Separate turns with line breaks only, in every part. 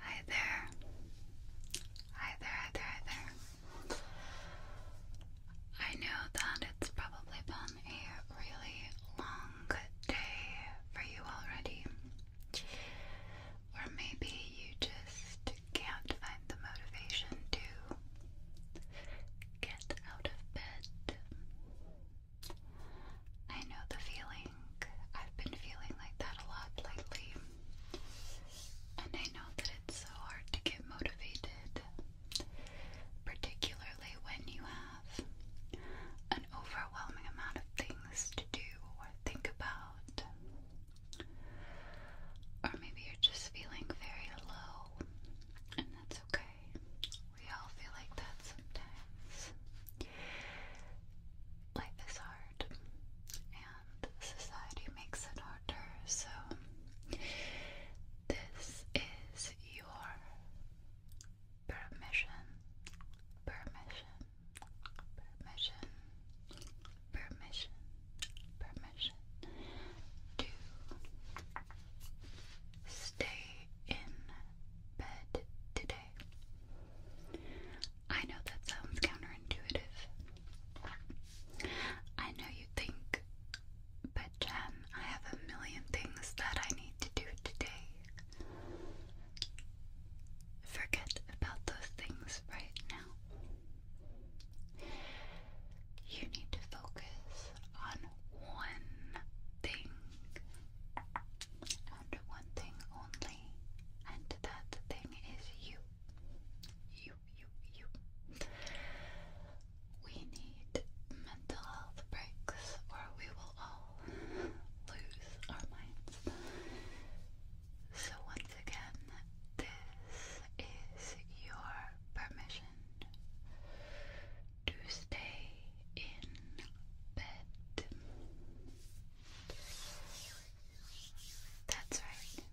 Hi there. Hi there, hi there, hi there. I know that it's probably been a really long day for you already. Or maybe you just can't find the motivation to get out of bed. I know the feeling. I've been feeling like that a lot lately. And I know that it's so hard to get motivated, particularly when you have an overwhelming amount of things to do or think about. Or maybe you're just feeling very low, and that's okay. We all feel like that sometimes life is hard and society makes it harder, so this is your permission, permission, permission, permission, permission to stay in bed today. I know that sounds counterintuitive. I know you think, but Jen, I have a million things that I need to do today. Forget about those things right now. You need to focus on one thing and one thing only, and that thing is you. You, you, you. We need mental health breaks, or we will all lose our minds. So, once again, this is your permission to stay in bed. That's right.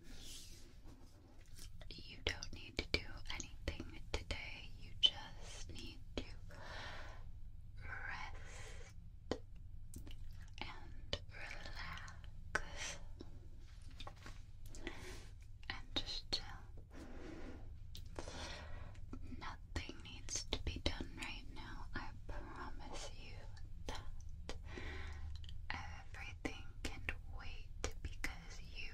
You don't need to do anything today, you just need to rest and relax and just chill nothing needs to be done right now. I promise you that everything can wait because you,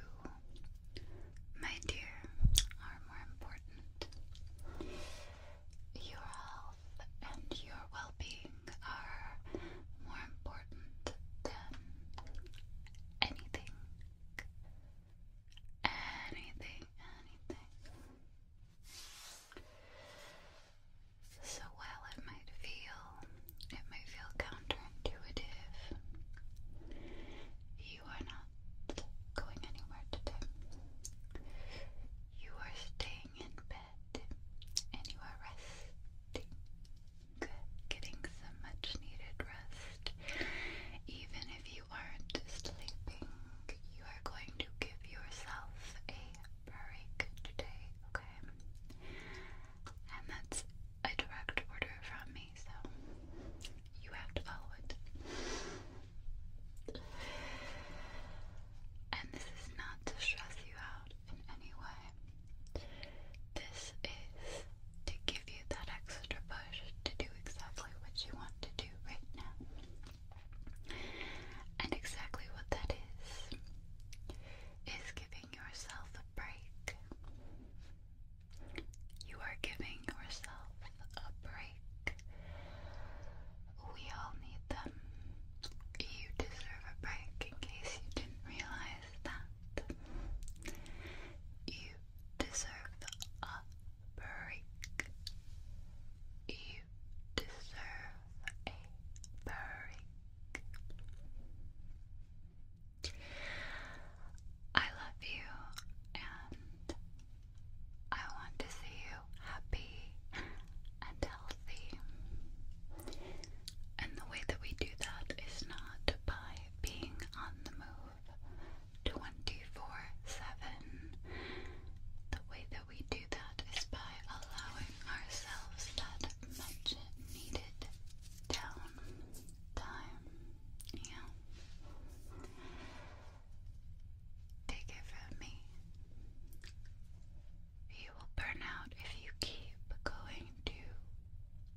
my dear, are more important. Your health and your well being are more important than anything anything, anything. So while it might feel, it may feel counterintuitive, you are not going anywhere today. You are staying in bed and you are resting. getting some much needed rest. Even if you you aren't sleeping, you are going to give yourself a break today, okay? And that's a direct order from me, so you have to follow it. And this is not to stress you out in any way. This is to give you that extra push to do exactly what you want to do right now. And exactly what that is, is giving yourself a break. You are giving yourself a break. We all need them. You deserve a break in case you didn't realize that. You deserve a break. You deserve a break. I love you and I want to see you happy and healthy. And the way that we do that is not by being on the move, 24 7. The way that we do that is by allowing ourselves that much needed down time. Yeah. Take it from me. You will burn out if you keep going too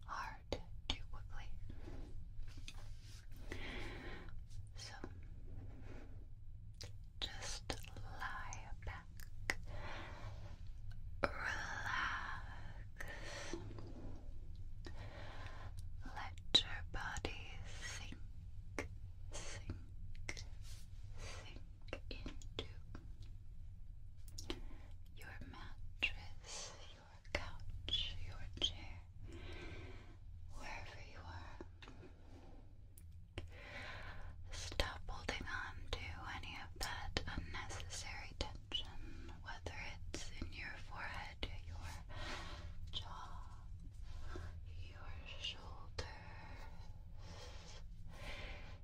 hard apart too quickly. So just lie back, relax, let your body sink, sink, sink into your mattress, your couch, your chair, wherever you are. Stop holding on to any of that unnecessary tension, whether it's in your forehead, your jaw, your shoulders,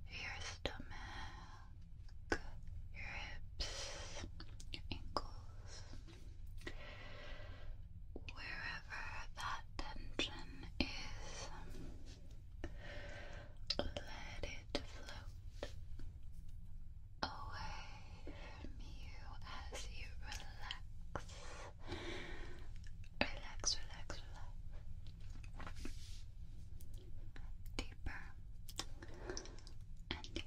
your stomach, your hips, your ankles, wherever that tension is, let it float away from you as you relax. Relax, relax, relax and deeper.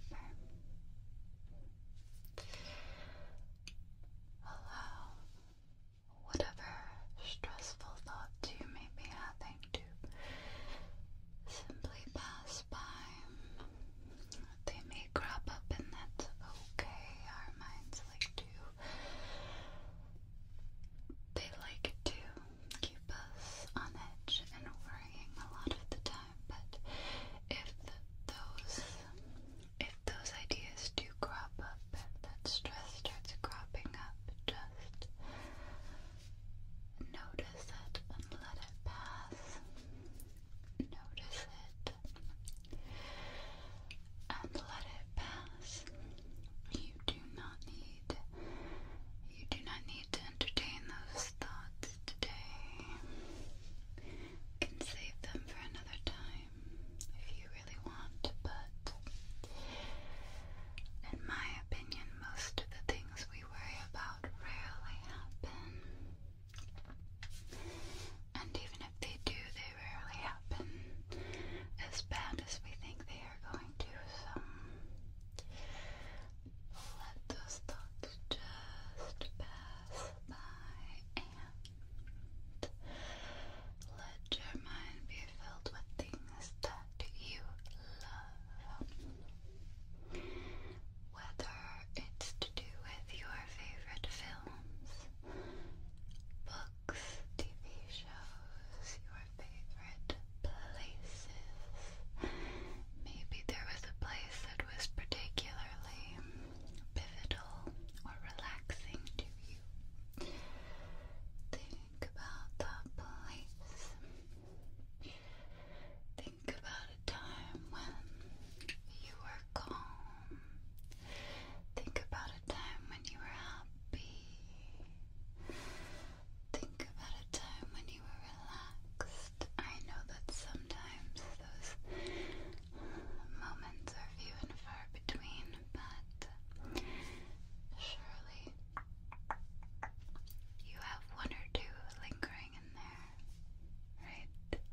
Allow whatever stressful thought you may be having to simply pass by. They may crop up, and that's okay. Our minds like to. They like to keep us on edge and worrying a lot of the time, but if those if those ideas do crop up, if that stress starts cropping up, just notice it and let it pass. Notice it and let it pass. You do not need you do not need to entertain those thoughts today. You can save them for another time if you really want, but in my opinion, most of the things we worry about rarely happen. And even if they do, they rarely happen as bad as we think they are going to let those thoughts just pass by and let your mind be filled with things that you love. Whether it's to do with your favorite films, books, TV shows, your favorite places. Maybe there was a place that was particularly pivotal or relaxing to you. Think about that place. Think about a time when you were calm. Think about a time when you were happy. Think about a time when you were relaxed. I know that sometimes those moments are few and far between, but surely you have one or two lingering in there, right? There's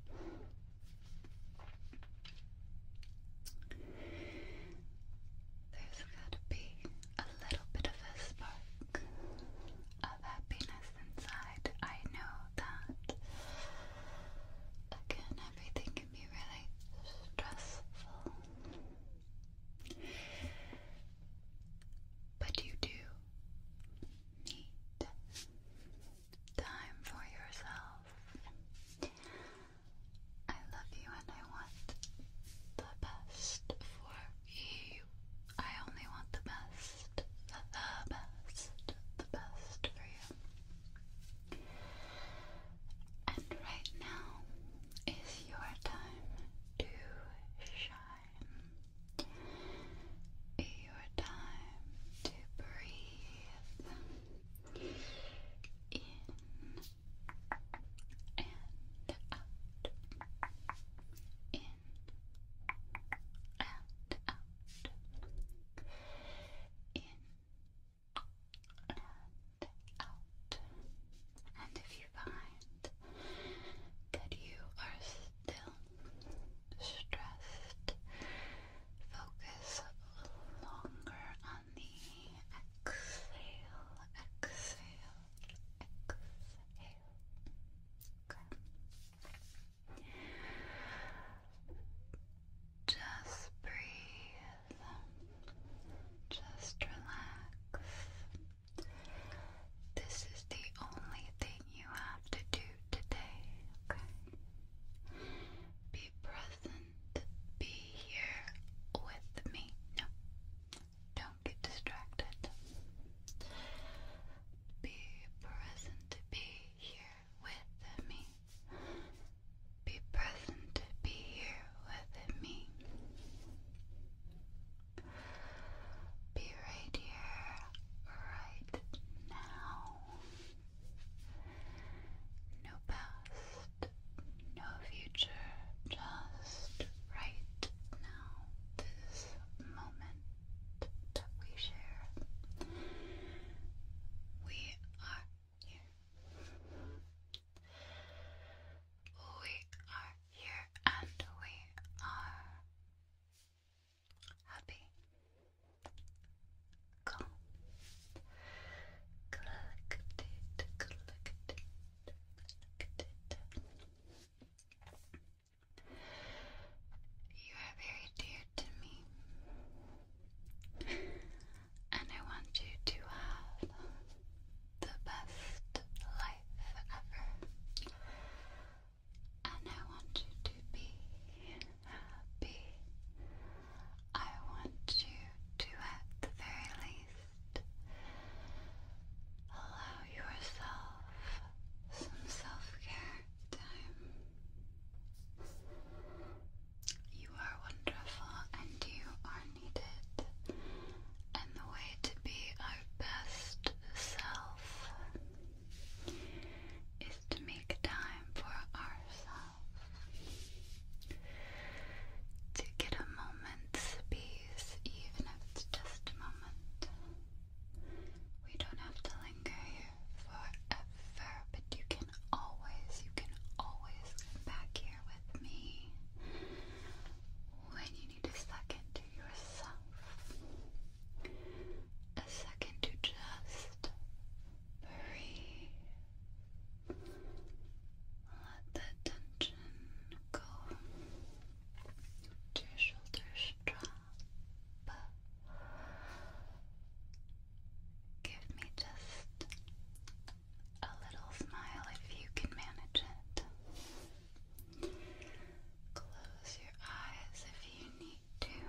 gotta be a little bit of a spark of happiness inside. I know that. Again, everything can be really stressful. But you do need time for yourself. I love you and I want the best for you. I only want the best, the, best, the best for you. And right now is your time to shine. Your time to breathe in and out, in, and out, in, and out. And if you find that you are still stressed, focus longer exhale, exhale, exhale. Just breathe. Just relax. This is the only thing you have to do today, okay? Be present be here with me. don't get distracted. Be present, be here with me. Be present, be here with me. Be right here, right now. No past, no future, just right now, this moment that we share. We are here. We are here and we are happy, calm, collected, collected, collected. You are very dear to me, and I want you to have the best life ever. And I want you to be happy I want you to, at the very least, allow yourself some self care time. You are wonderful and you are needed, and the way to be our best self is to make time for ourselves to get a moment's peace, even if it's just a moment. We don't have to linger here forever, but you can always, you can always come back here with me when you need a second to yourself, a second to just breathe. Let the tension go your shoulders, drop. Give me just a little smile if you can manage it. Close your eyes if you need to.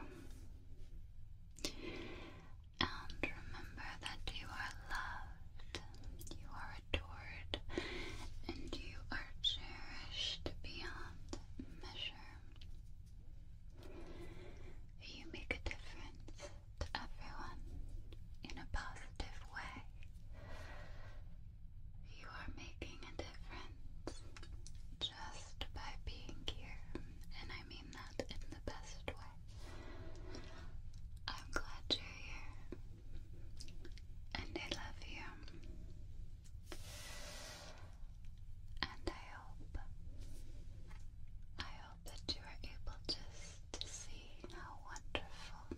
And remember that you are loved, you are adored, and you are cherished beyond measure. You make a difference to everyone in a positive way. You are making a difference just by being here, and I mean that in the best way. I'm glad you're here, and I love you, and I hope, I hope that you are able just to see how wonderful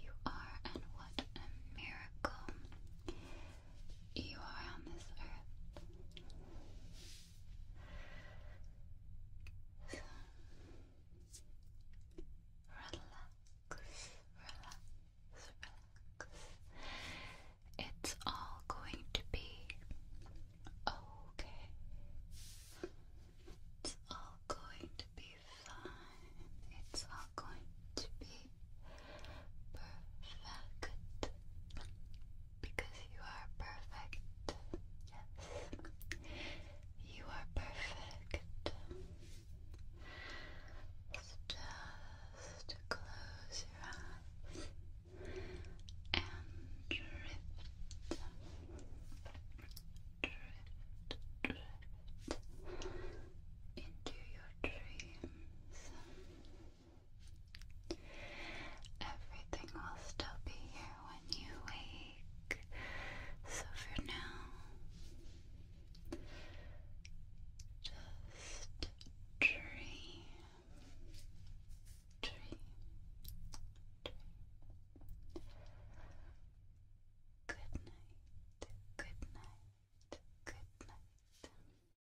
you are and what a miracle you are on this earth relax, relax, relax. It's all going to be okay. It's all going to be fine. It's all going to be perfect because you are perfect. Yes, you are perfect. Just close your eyes and drift, drift, drift into your dreams. Everything will still be here when you wake, so for now, just dream, dream, dream. Good night, good night, good night.